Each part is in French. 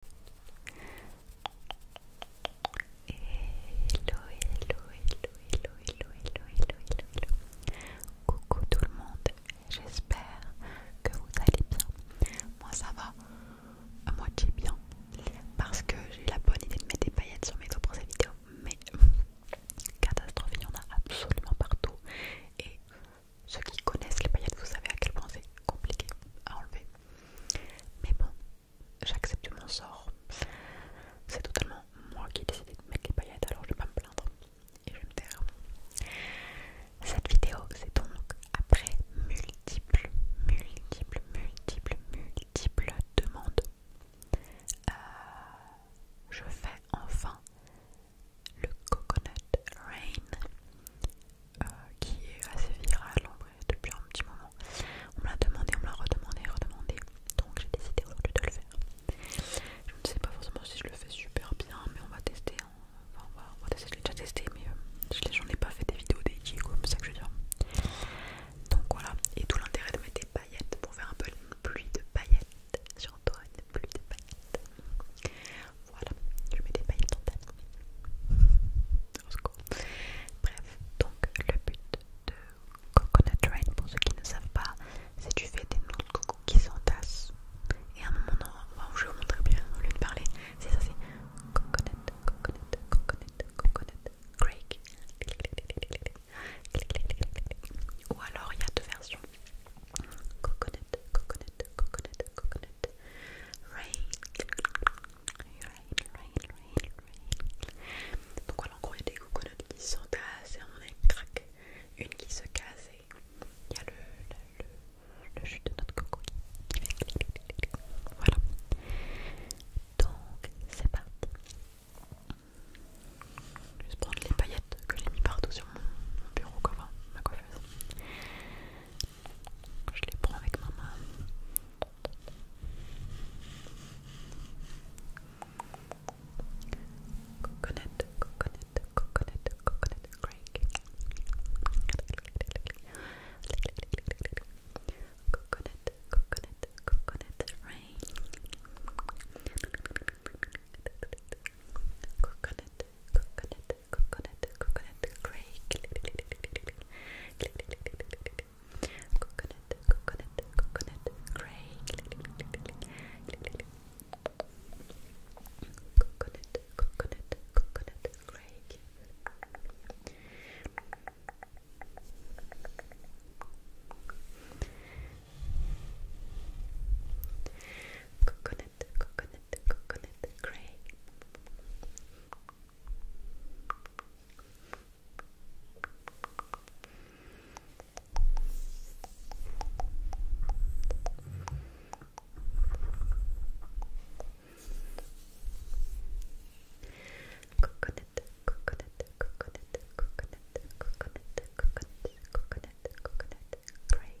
Hello, hello, hello, hello, hello, hello, hello, hello, hello. Coucou tout le monde, j'espère que vous allez bien. Moi ça va, à moitié bien, parce que j'ai eu la bonne idée de mettre des paillettes sur mes doigts pour cette vidéo, mais catastrophe, il y en a absolument partout. Et ceux qui connaissent les paillettes, vous savez à quel point c'est compliqué à enlever. Mais bon, j'accepte mon sort. C'est totalement moi qui ai décidé de mettre les paillettes, alors je vais pas me plaindre. Et je vais me taire. Cette vidéo, c'est donc après multiples, multiples, multiples, multiples demandes. Euh, je fais enfin le Coconut Rain euh, qui est assez virale en vrai depuis un petit moment. On me l'a demandé, on me l'a redemandé, redemandé. Donc j'ai décidé aujourd'hui de le faire. Je ne sais pas forcément si je le fais super bien, mais on va tester. Hein. Enfin, on va, tester. Je l'ai déjà testé, mais euh, j'en ai pas fait des vidéos dédiées, comme ça que je veux dire. Donc voilà, et tout l'intérêt de mettre des paillettes pour faire un peu une pluie de paillettes sur toi, une pluie de paillettes. Voilà, je mets des paillettes en tête. Bref, donc le but de Coconut Rain, pour ceux qui ne savent pas, c'est tu fais des noms de coco qui s'entassent. Et à un moment, donné, je vais vous montrer bien au lieu de parler, c'est ça c'est Coconut, Coconut, Coconut, Coconut, Craig. Ou alors il y a deux versions coconut, coconut, coconut, coconut, rain, donc voilà, en gros, il y a des coconuts qui sont et on est craqués, une qui se casse et il y a le, jus de notre coco qui fait clic, clic, clic, Voilà. Donc c'est parti. Je vais prendre les paillettes que j'ai mis partout sur mon bureau, comme ma coiffeuse. Je les prends avec ma main. Coconut, coconut, coconut, coconut, crank. Coconut, coconut, coconut, rain. Coconut, coconut, coconut, coconut, crank coconut, coconut, coconut, gray, coconut, coconut, coconut, gray. Coconut, coconut, coconut, gray. Coconut, coconut, coconut, coconut, coconut, coconut, coconut, coconut, break.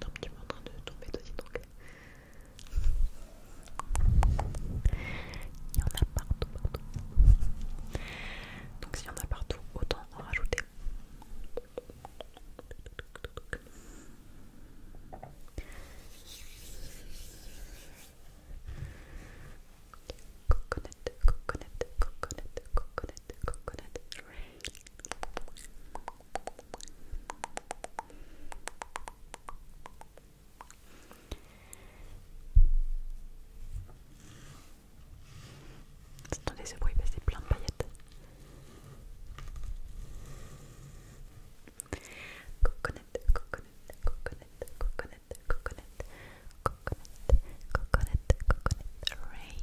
Non un petit en train de tomber dessus donc. Il y en a partout, partout. Donc s'il y en a partout, autant en rajouter. Coconut, coconut, coconut, coconut, coconut, Attendez ce bruit, plein de paillettes. Coconut, coconut, coconut, coconut, coconut, coconut, coconut, coconut, ray.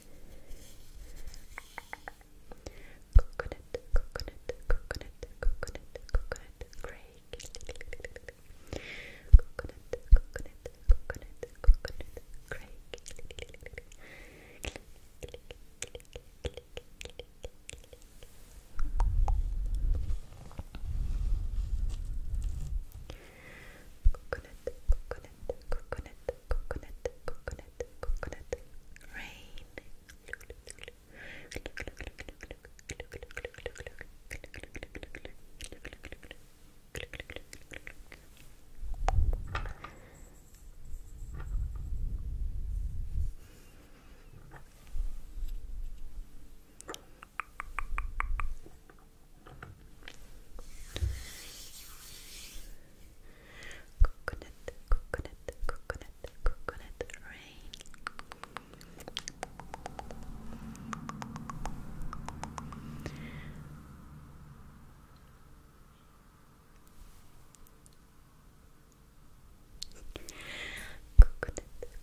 Coconut, coconut, coconut, coconut, coconut, grey. Coconut, coconut, coconut, coconut, grey. Coconut, coconut, coconut, coconut, coconut, coconut rain. Good, Coconut, coconut, coconut, coconut rain. Coconut, coconut,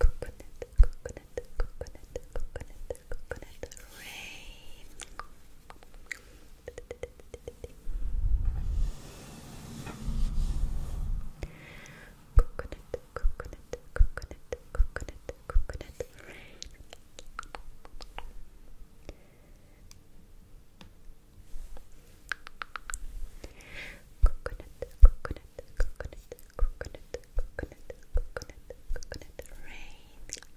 coconut, coconut, coconut, coconut rain. Coconut, coconut, coconut, coconut, coconut rain. Coconut, coconut, coconut, coconut, coconut, coconut, coconut rain.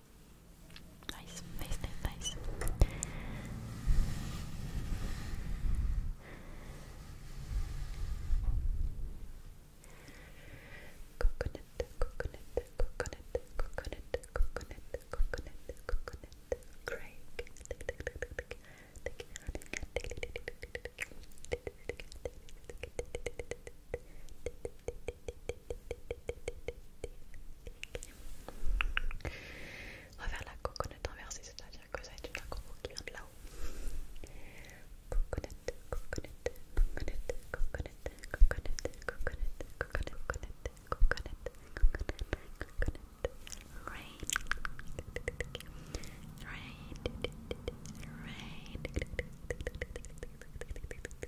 Nice, nice, nice, nice. Coconut, coconut, coconut, coconut, coconut, coconut, coconut, Craig. On va faire la coconut inversée, c'est-à-dire que ça va une coconnette qui là-haut.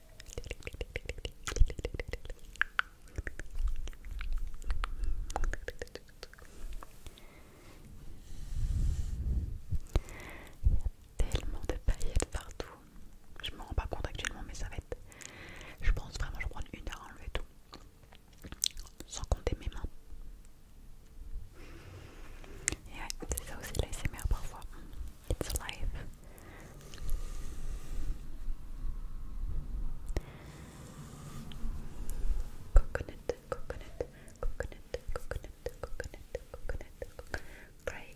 Il y a tellement de paillettes partout. Je m'en rends pas compte actuellement, mais ça va être. Je pense vraiment, je vais prendre une heure à enlever tout. Sans compter mes mains. Et ouais, c'est ça aussi l'ASMR parfois. It's life. Coconut, coconut, coconut, coconut, coconut, coconut, coconut. Craig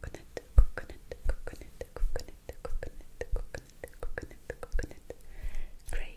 Coconut, coconut, coconut, coconut, coconut, coconut, coconut, coconut, Craig. Craig.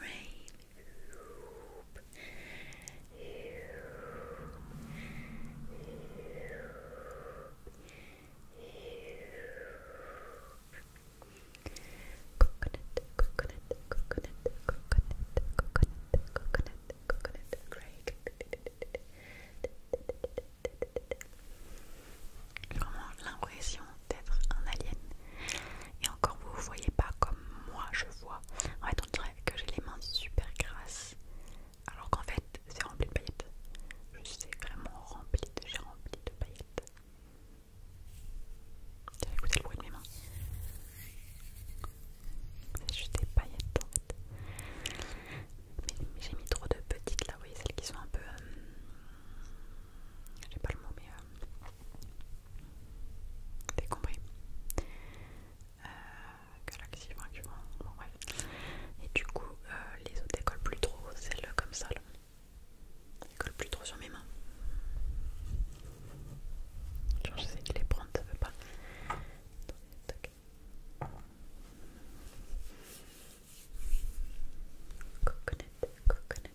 rain. Coconut, coconut, coconut, coconut, coconut, coconut, coconut, l'impression d'être un alien. Et encore, vous ne voyez pas comme moi je vois. En fait, on dirait que j'ai les mains super grasses. Alors qu'en fait, c'est rempli de paillettes. Je suis vraiment rempli de... J'ai rempli de paillettes. J'ai écouté le bruit de mes mains. C'est juste des paillettes en fait. Mais, j'ai mis trop de petites là, vous voyez, celles qui sont un peu... Je euh, j'ai pas le mot mais... Euh, T'es compris Galaxy, franchement, Et du coup, les autres collent plus trop, celle comme ça là. collent plus trop sur mes mains. Genre sais les prendre, ça veut pas. Coconut, coconut,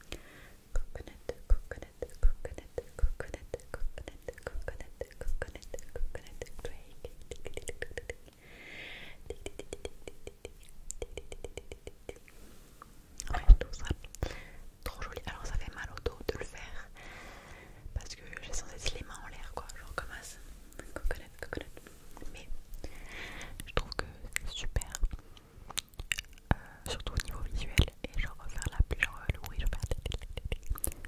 coconut, coconut, coconut, coconut, coconut, coconut, coconut, coconut, ah, ça trop joli. Alors ça fait mal au dos de le faire parce que j'ai censé les mains en l'air quoi, genre comme ça. Coconut, coconut. Mais je trouve que c'est super surtout au niveau visuel et genre la plus genre le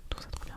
tout ça trop bien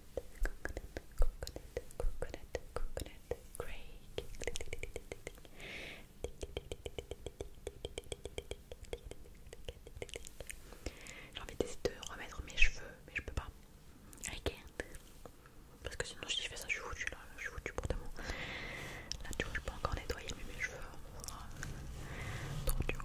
j'ai envie d'essayer de remettre mes cheveux, mais je peux pas. I Parce que sinon, si je fais ça, je suis foutue là, je suis foutue pour mots, Là, tu vois, je peux encore nettoyer mes cheveux. Trop dur.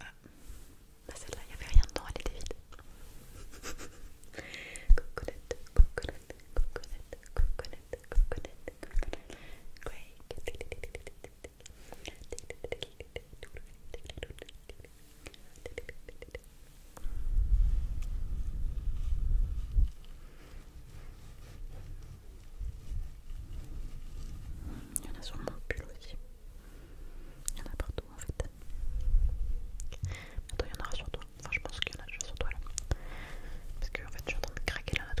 Ah, celle-là, il n'y avait rien dedans, elle était vide. Il y en a sûrement plus, aussi. Il y en a partout en fait. Attends, il y en aura sur toi. Enfin, je pense qu'il y en a sur toi là. Parce que en fait, je suis en train de craquer la note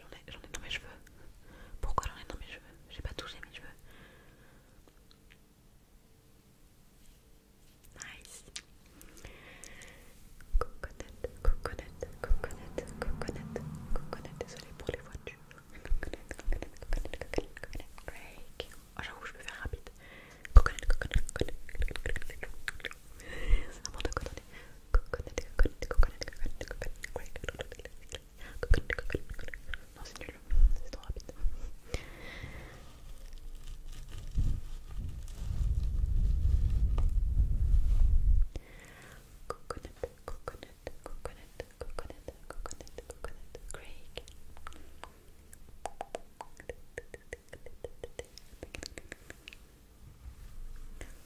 J'en ai, dans mes cheveux. Pourquoi j'en ai dans mes cheveux J'ai pas touché mes cheveux. Nice. Coconut, coconut, coconut, coconut, Désolée pour les voitures. Oh, j'avoue, je peux faire rapide. C'est de c'est trop rapide. Coconut, coconut, coconut, coconut, coconut, coconut, Craig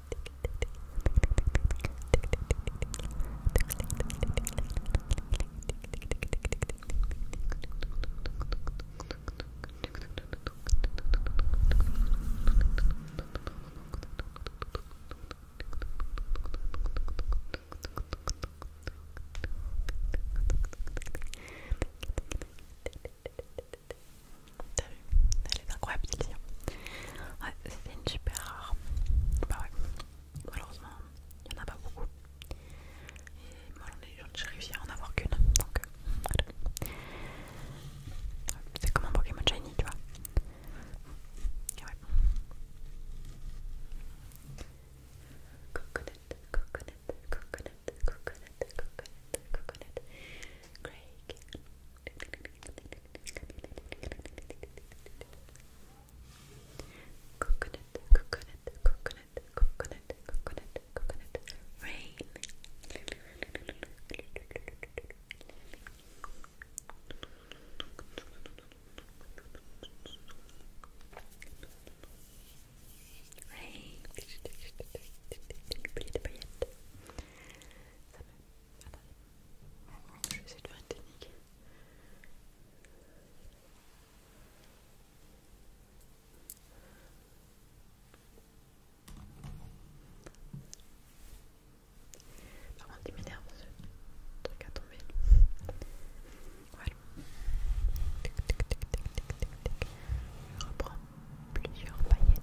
T'as vu Elle est incroyable, Lilian. Ouais, c'était une super rare. Bah ouais, malheureusement, il n'y en a pas beaucoup. Et moi, j'ai réussi à en avoir qu'une. Donc, euh, voilà. C'est comme un Pokémon Shiny, tu vois. ouais. Coconut, coconut, coconut, coconut, coconut, coconut, Craig. Coconut, coconut, coconut, coconut, coconut, coconut, rain. Rain. Attendez. Je vais essayer de faire une technique. Par contre, il m'énerve ce truc à tomber. Voilà. Je reprends plusieurs paillettes.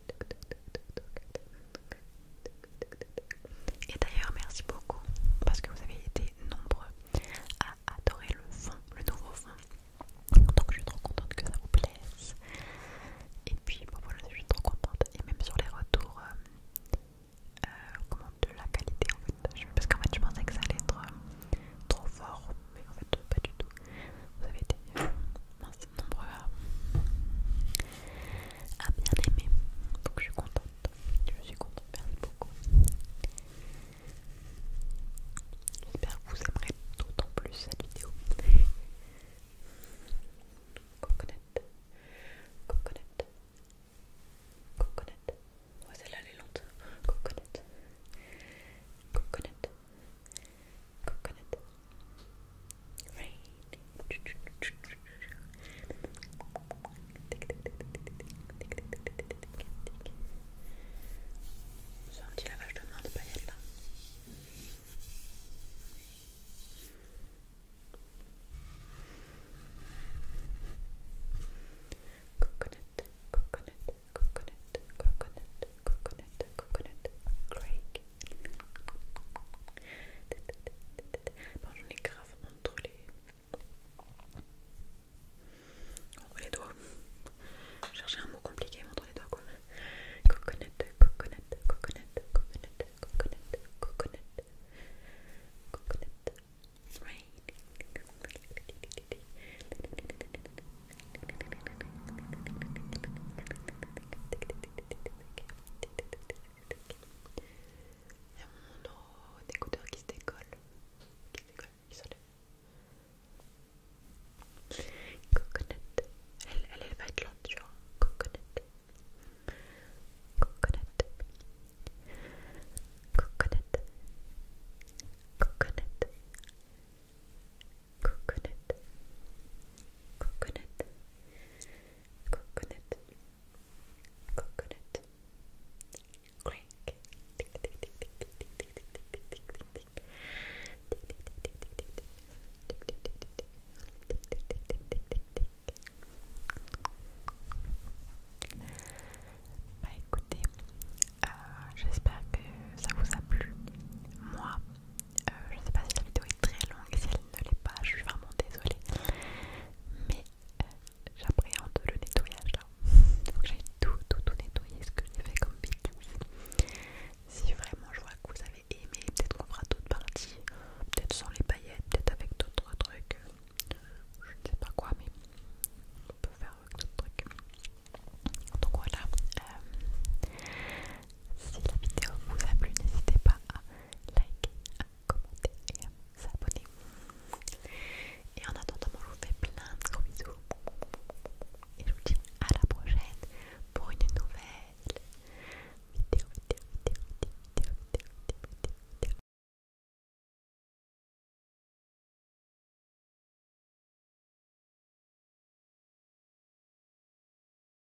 Et d'ailleurs, merci beaucoup parce que vous avez été nombreux à adorer le fond, le nouveau fond. Donc je suis trop contente que ça vous plaise. Et puis voilà, je suis trop contente. Et même sur les retours euh, euh, de la qualité en fait. Parce qu'en fait je pensais que ça allait être euh, trop fort, mais en fait pas du tout. Vous avez été Merci de à, à bien aimer. Donc je suis contente. Je suis contente, merci beaucoup. J'espère que vous aimerez d'autant plus cette vidéo. Coconette, coconette, coconette. Ouais, celle elle est lente. Coconette, coconette coconut rain petit lavage de mains de Coconut, coconut, coconut, coconut, coconut, coconut, Bon, j'en ai grave entre les... entre les doigts. Chercher un mot compliqué entre les doigts Coconut, coconut, coconut, coconut, coconut, coconut, coconut. Il y a mon écouteur qui se décolle. Qui se décolle, qui s'enlève. Coconut. Elle, elle, va être lente, tu vois. Coconnette. Coconut. Coconut. Coconut. Coconut coconut, coconut, coconut, coconut, bah écoutez, euh, j'espère que ça vous a plu. Moi, je euh, je sais pas si la vidéo est très longue, si elle ne l'est pas, je suis vraiment désolée. Mais euh, j'appréhende le nettoyage là. Il faut que j'aille tout, tout, tout nettoyer ce que j'ai fait comme bêtise. Si vraiment je vois que vous avez aimé, peut-être qu'on fera d'autres parties, peut-être sans les paillettes, peut-être avec d'autres trucs. Euh, je ne sais pas quoi, mais on peut faire avec d'autres trucs. Donc voilà. Si la vidéo vous a plu, n'hésitez pas à liker, à commenter et à vous abonner. Et en attendant, je vous fais plein de gros bisous. Et je vous dis à la prochaine pour une nouvelle vidéo, vidéo, vidéo, vidéo, vidéo, vidéo, vidéo.